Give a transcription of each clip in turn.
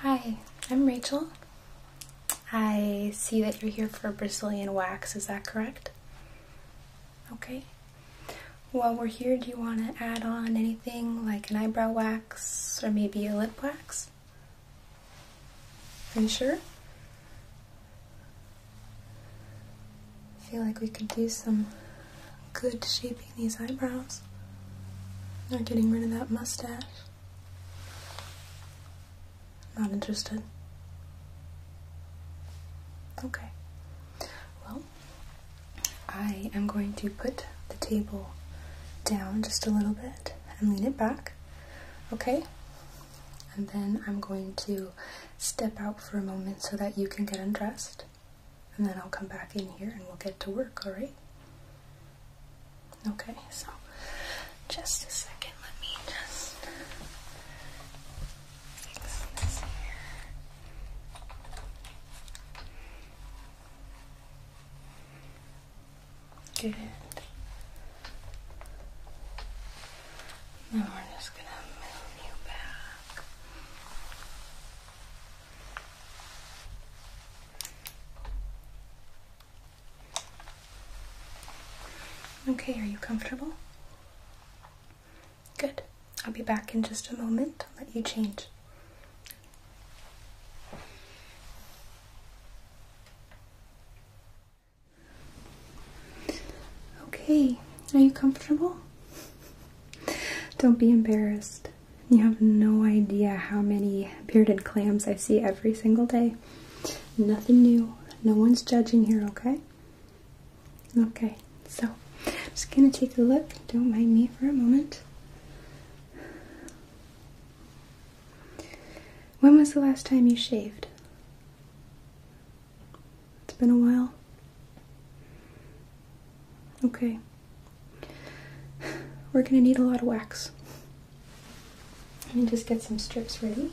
Hi, I'm Rachel. I see that you're here for Brazilian wax, is that correct? Okay. While we're here, do you want to add on anything like an eyebrow wax or maybe a lip wax? Are you sure? feel like we could do some good shaping these eyebrows or getting rid of that mustache. Not interested. Okay. Well, I am going to put the table down just a little bit and lean it back. Okay? And then I'm going to step out for a moment so that you can get undressed and then I'll come back in here and we'll get to work, alright? Okay, so just a second, let me just fix Good. Now we're just gonna move you back. Okay, are you comfortable? Good. I'll be back in just a moment. I'll let you change. Okay, are you comfortable? Don't be embarrassed. You have no idea how many bearded clams I see every single day. Nothing new. No one's judging here, okay? Okay, so I'm just gonna take a look. Don't mind me for a moment. When was the last time you shaved? It's been a while. Okay. We're gonna need a lot of wax. Let me just get some strips ready.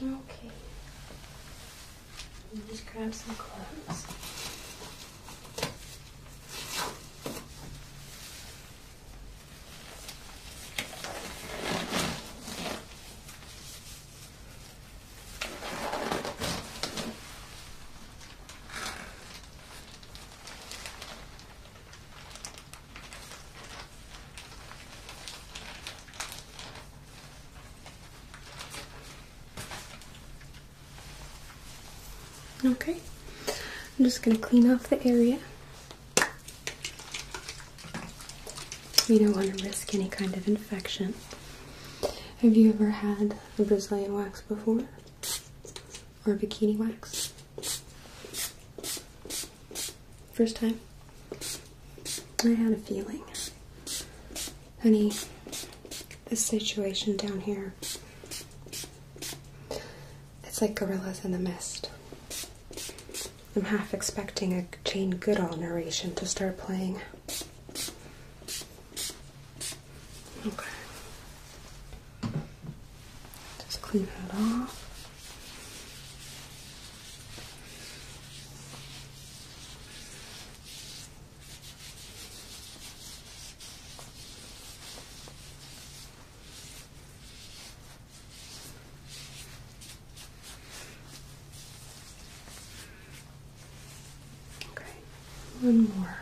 Okay. Let me just grab some clothes. Okay, I'm just going to clean off the area. We don't want to risk any kind of infection. Have you ever had a Brazilian wax before? Or bikini wax? first time? I had a feeling. Honey, this situation down here, it's like gorillas in the mist. I'm half expecting a Jane Goodall narration to start playing. Okay. Just clean it off. Okay, one more.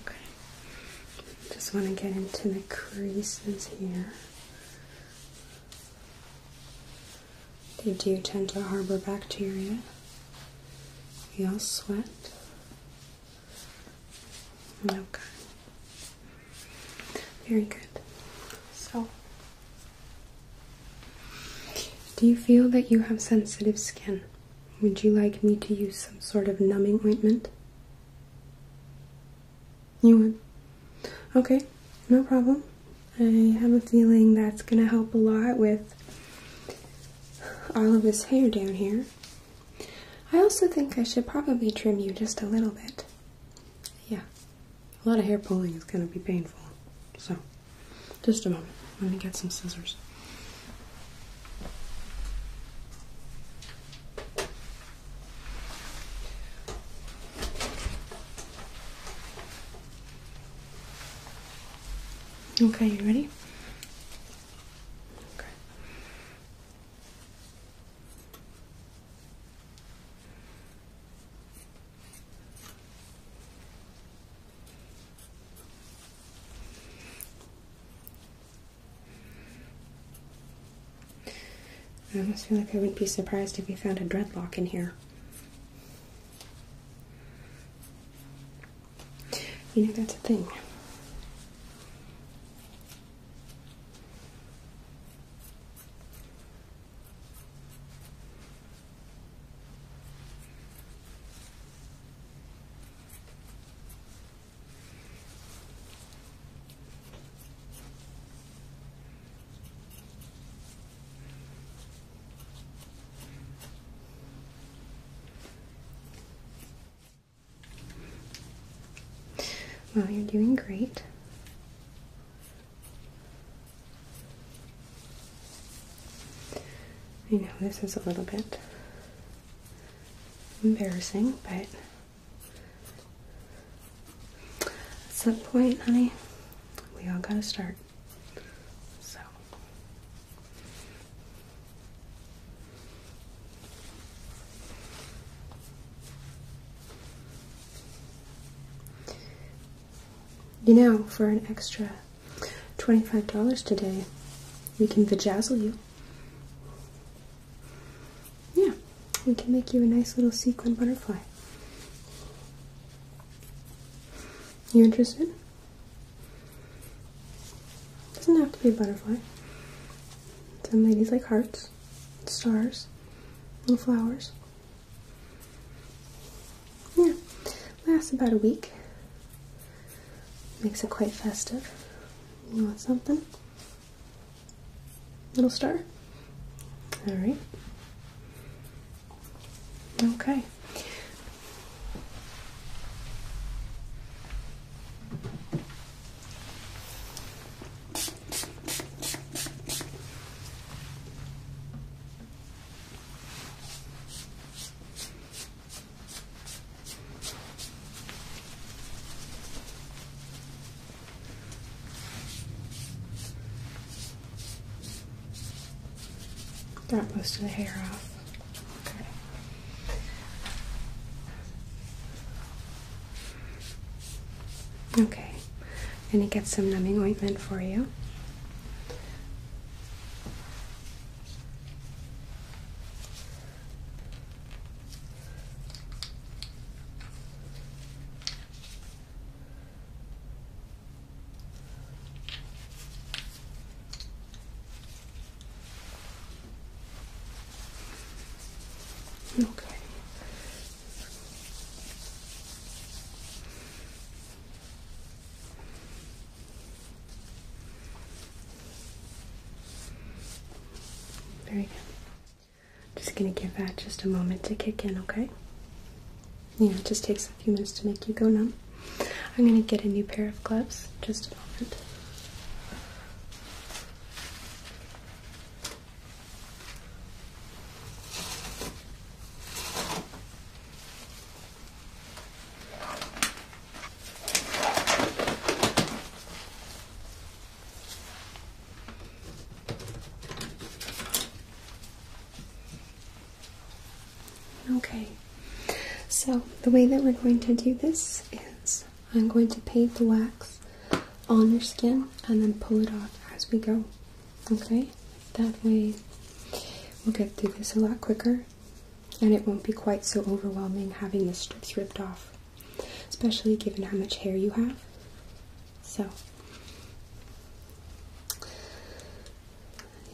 Okay. Just want to get into the creases here. They do tend to harbor bacteria. you all sweat. Okay. Very good. So do you feel that you have sensitive skin? Would you like me to use some sort of numbing ointment? You would? Okay, no problem. I have a feeling that's going to help a lot with all of this hair down here. I also think I should probably trim you just a little bit. Yeah, a lot of hair pulling is going to be painful, so. Just a moment. Let me get some scissors. Okay, you ready? I almost feel like I wouldn't be surprised if we found a dreadlock in here. You know, that's a thing. Well, you're doing great. I know this is a little bit embarrassing, but at some point, honey, we all gotta start. So you know, for an extra $25 today, we can vajazzle you. Yeah, we can make you a nice little sequin butterfly. You interested? Doesn't have to be a butterfly. Some ladies like hearts, stars, little flowers. Yeah, lasts about a week. Makes it quite festive. You want something? Little star? Alright. Okay. Got most of the hair off. Okay. Okay, I'm going to get some numbing ointment for you. Okay. Very good. Just gonna give that just a moment to kick in, okay? Yeah, it just takes a few minutes to make you go numb. I'm gonna get a new pair of gloves. Just a moment. Okay, so the way that we're going to do this is I'm going to paint the wax on your skin and then pull it off as we go. Okay, that way we'll get through this a lot quicker and it won't be quite so overwhelming having the strips ripped off, especially given how much hair you have. So,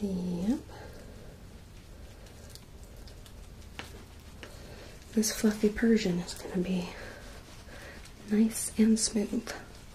yep. This fluffy Persian is going to be nice and smooth.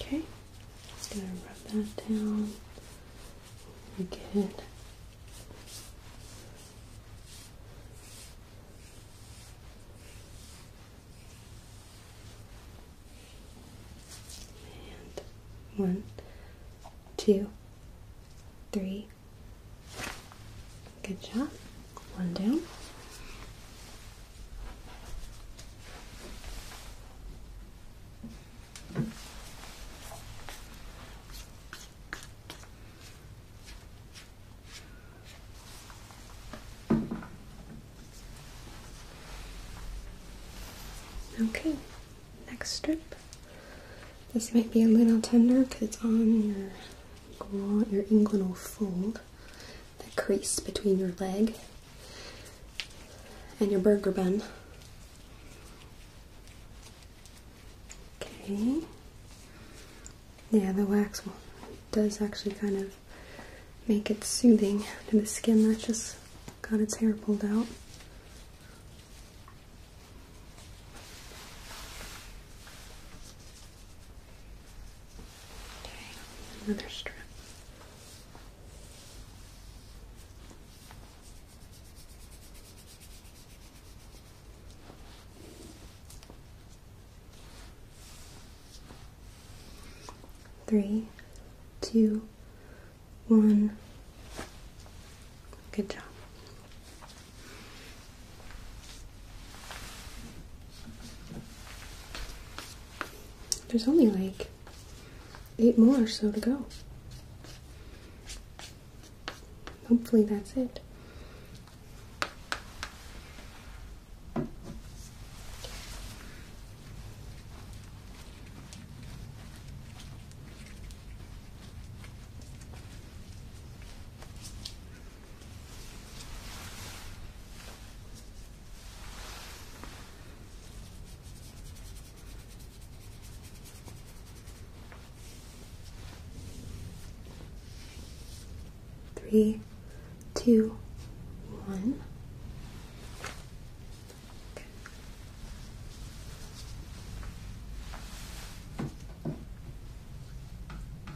Okay, just gonna rub that down. Good. And one, two, three. Good job. One down. Okay, next strip. This might be a little tender because it's on your your inguinal fold the crease between your leg and your burger bun. Okay. Yeah, the wax does actually kind of make it soothing to the skin that just got its hair pulled out. Okay, another strip. Three, two, one. Good job. There's only like eight more or so to go. Hopefully, that's it. Three, two, one. Okay.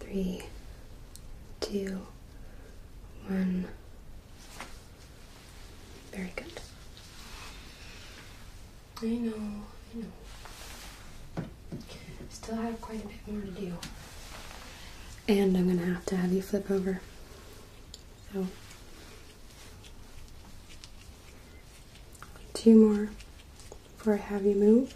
Three, two, one. Very good. I know, I know. Still have quite a bit more to do. And I'm gonna have to have you flip over. So Two more before I have you move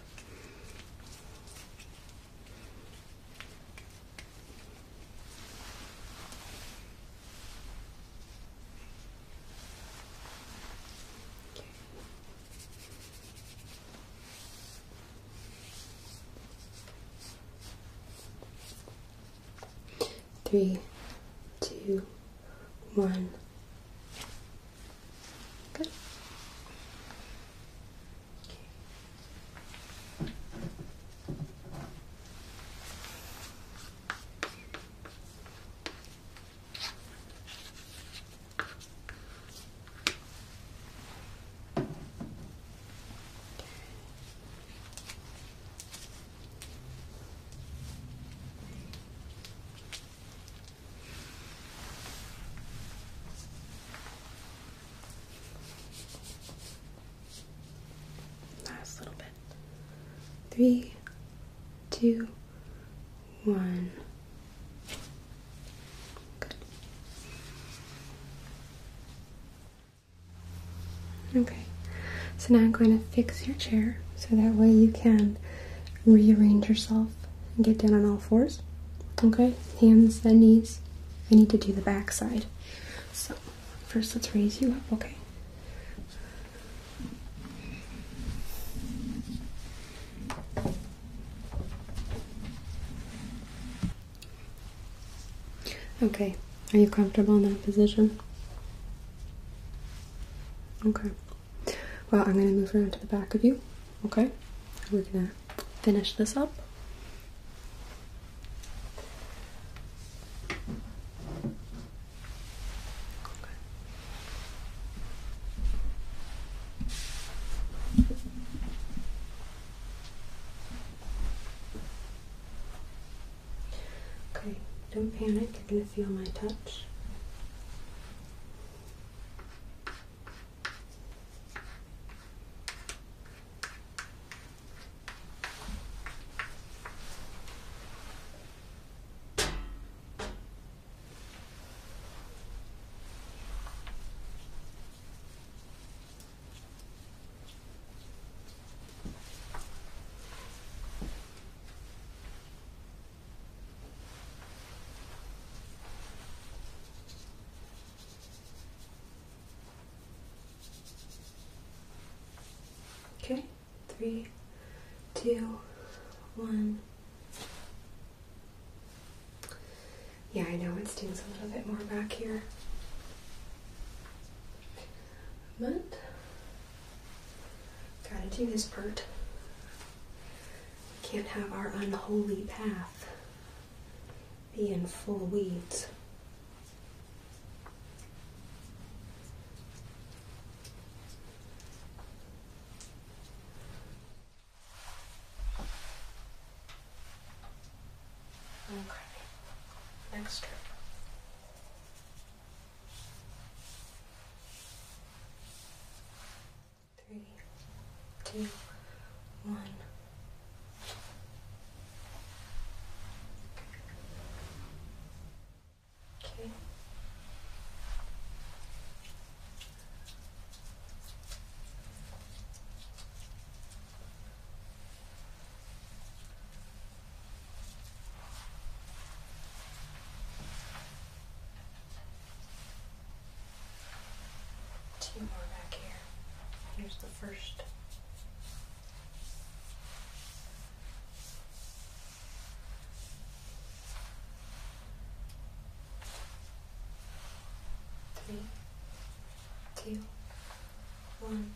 three, two, one. Good. Last little bit. Three, two, one. Good. Okay, so now I'm going to fix your chair so that way you can rearrange yourself and get down on all fours. Okay, hands, then knees. I need to do the backside. So, first let's raise you up, okay? Okay, are you comfortable in that position? Okay. Well, I'm going to move around to the back of you. Okay. We're going to finish this up. Okay, don't panic, you're gonna feel my touch. Okay, three, two, one. Yeah, I know it stings a little bit more back here. But gotta do this part. We can't have our unholy path be in full weeds. Okay, next Three, two, one. Okay. Two more back here. Here's the first. Three, two, one.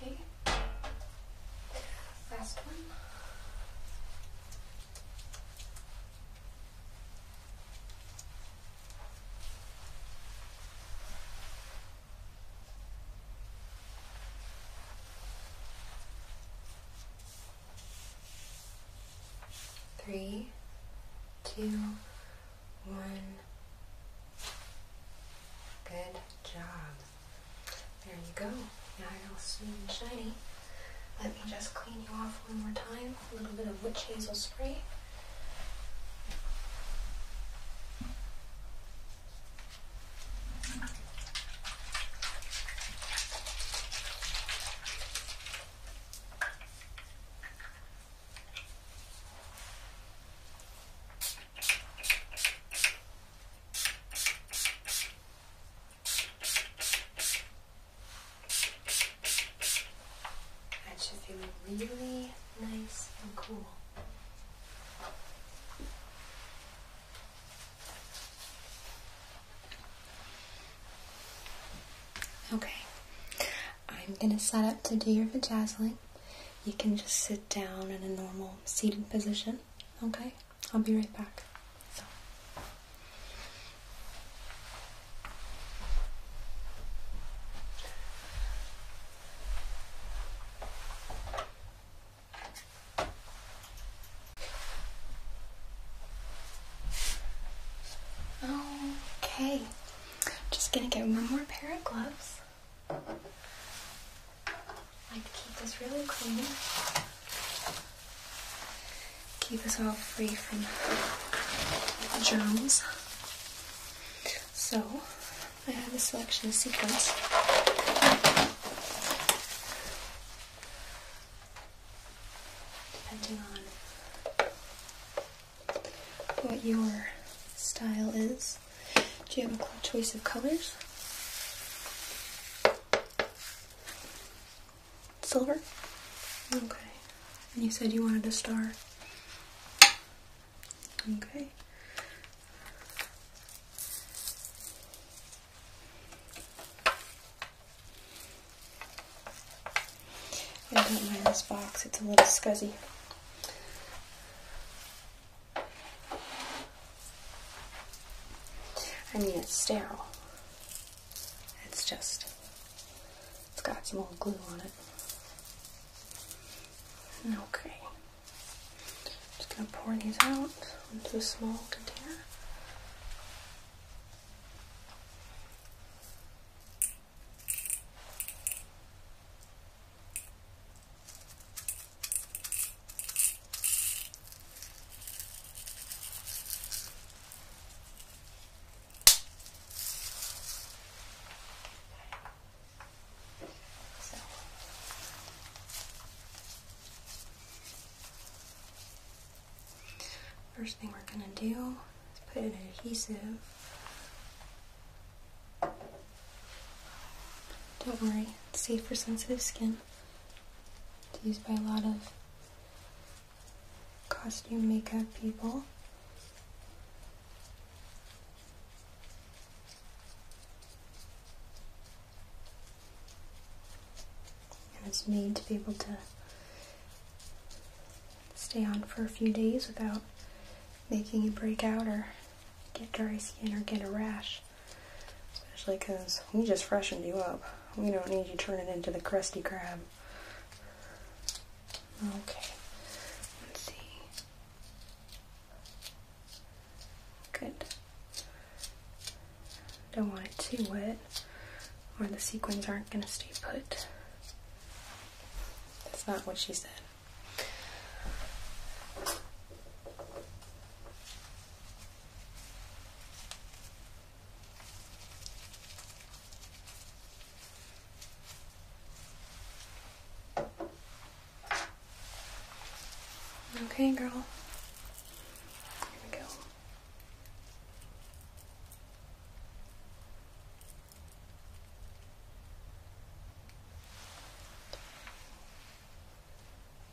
Okay. Last one. Three, two, one. Good job. There you go. Now you're all smooth and shiny. Let me just clean you off one more time. A little bit of witch hazel spray. That should feel really nice and cool. Okay, I'm gonna set up to do your vajazzling. You can just sit down in a normal seated position. Okay, I'll be right back. So. Okay, just gonna get one more pair of gloves. I like to keep this really clean keep us all free from germs. So, I have a selection of sequins. Depending on what your style is. Do you have a choice of colors? Silver? Okay. And you said you wanted a star? Okay. I don't mind this box, it's a little scuzzy. I mean, it's sterile. It's just, it's got some old glue on it. Okay. Just gonna pour these out into a small container. First thing we're going to do is put an adhesive. Don't worry, it's safe for sensitive skin. It's used by a lot of costume makeup people. And it's made to be able to stay on for a few days without making you break out or get dry skin or get a rash. Especially because we just freshened you up. We don't need you turning into the crusty crab. Okay. Let's see. Good. Don't want it too wet or the sequins aren't going to stay put. That's not what she said. Okay, girl. Here we go.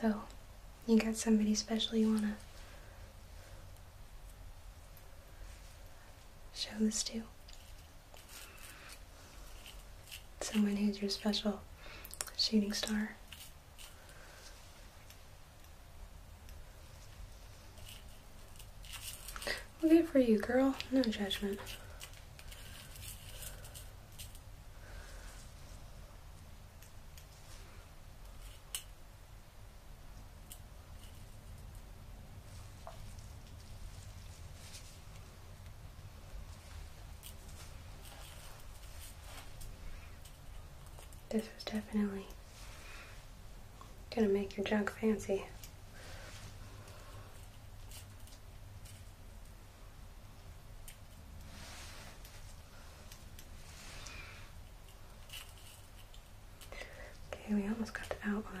So, you got somebody special you want to show this to? Someone who's your special shooting star. Okay for you, girl. No judgment. This was definitely gonna make your junk fancy. Okay, we almost got the outline.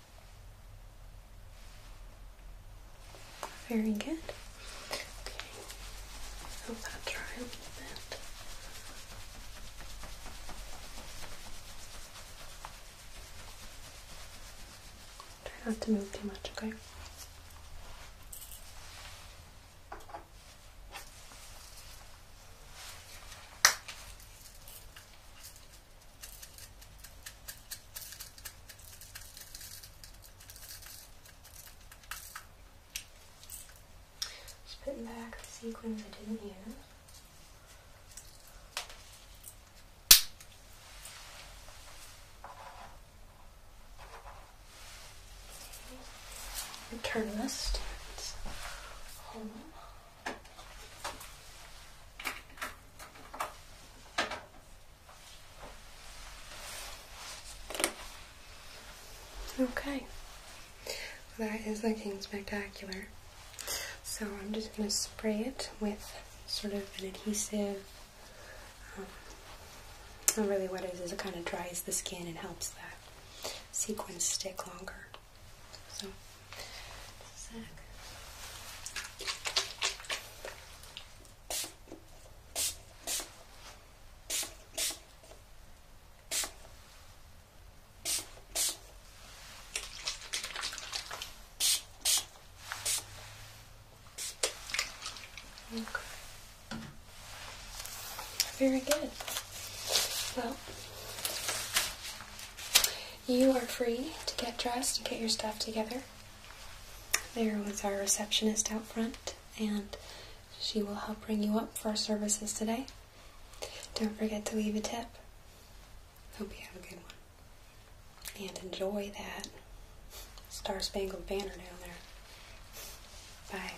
Very good. Okay. I'll dry a little bit. Try not to move too much, okay? Just putting back the sequins I didn't use. Return this Okay, that is looking spectacular. So I'm just going to spray it with sort of an adhesive. Um, not really what it is it kind of dries the skin and helps that sequins stick longer. So, sack. Okay. Very good. Well, you are free to get dressed and get your stuff together. There was our receptionist out front, and she will help bring you up for our services today. Don't forget to leave a tip. Hope you have a good one. And enjoy that Star Spangled Banner down there. Bye.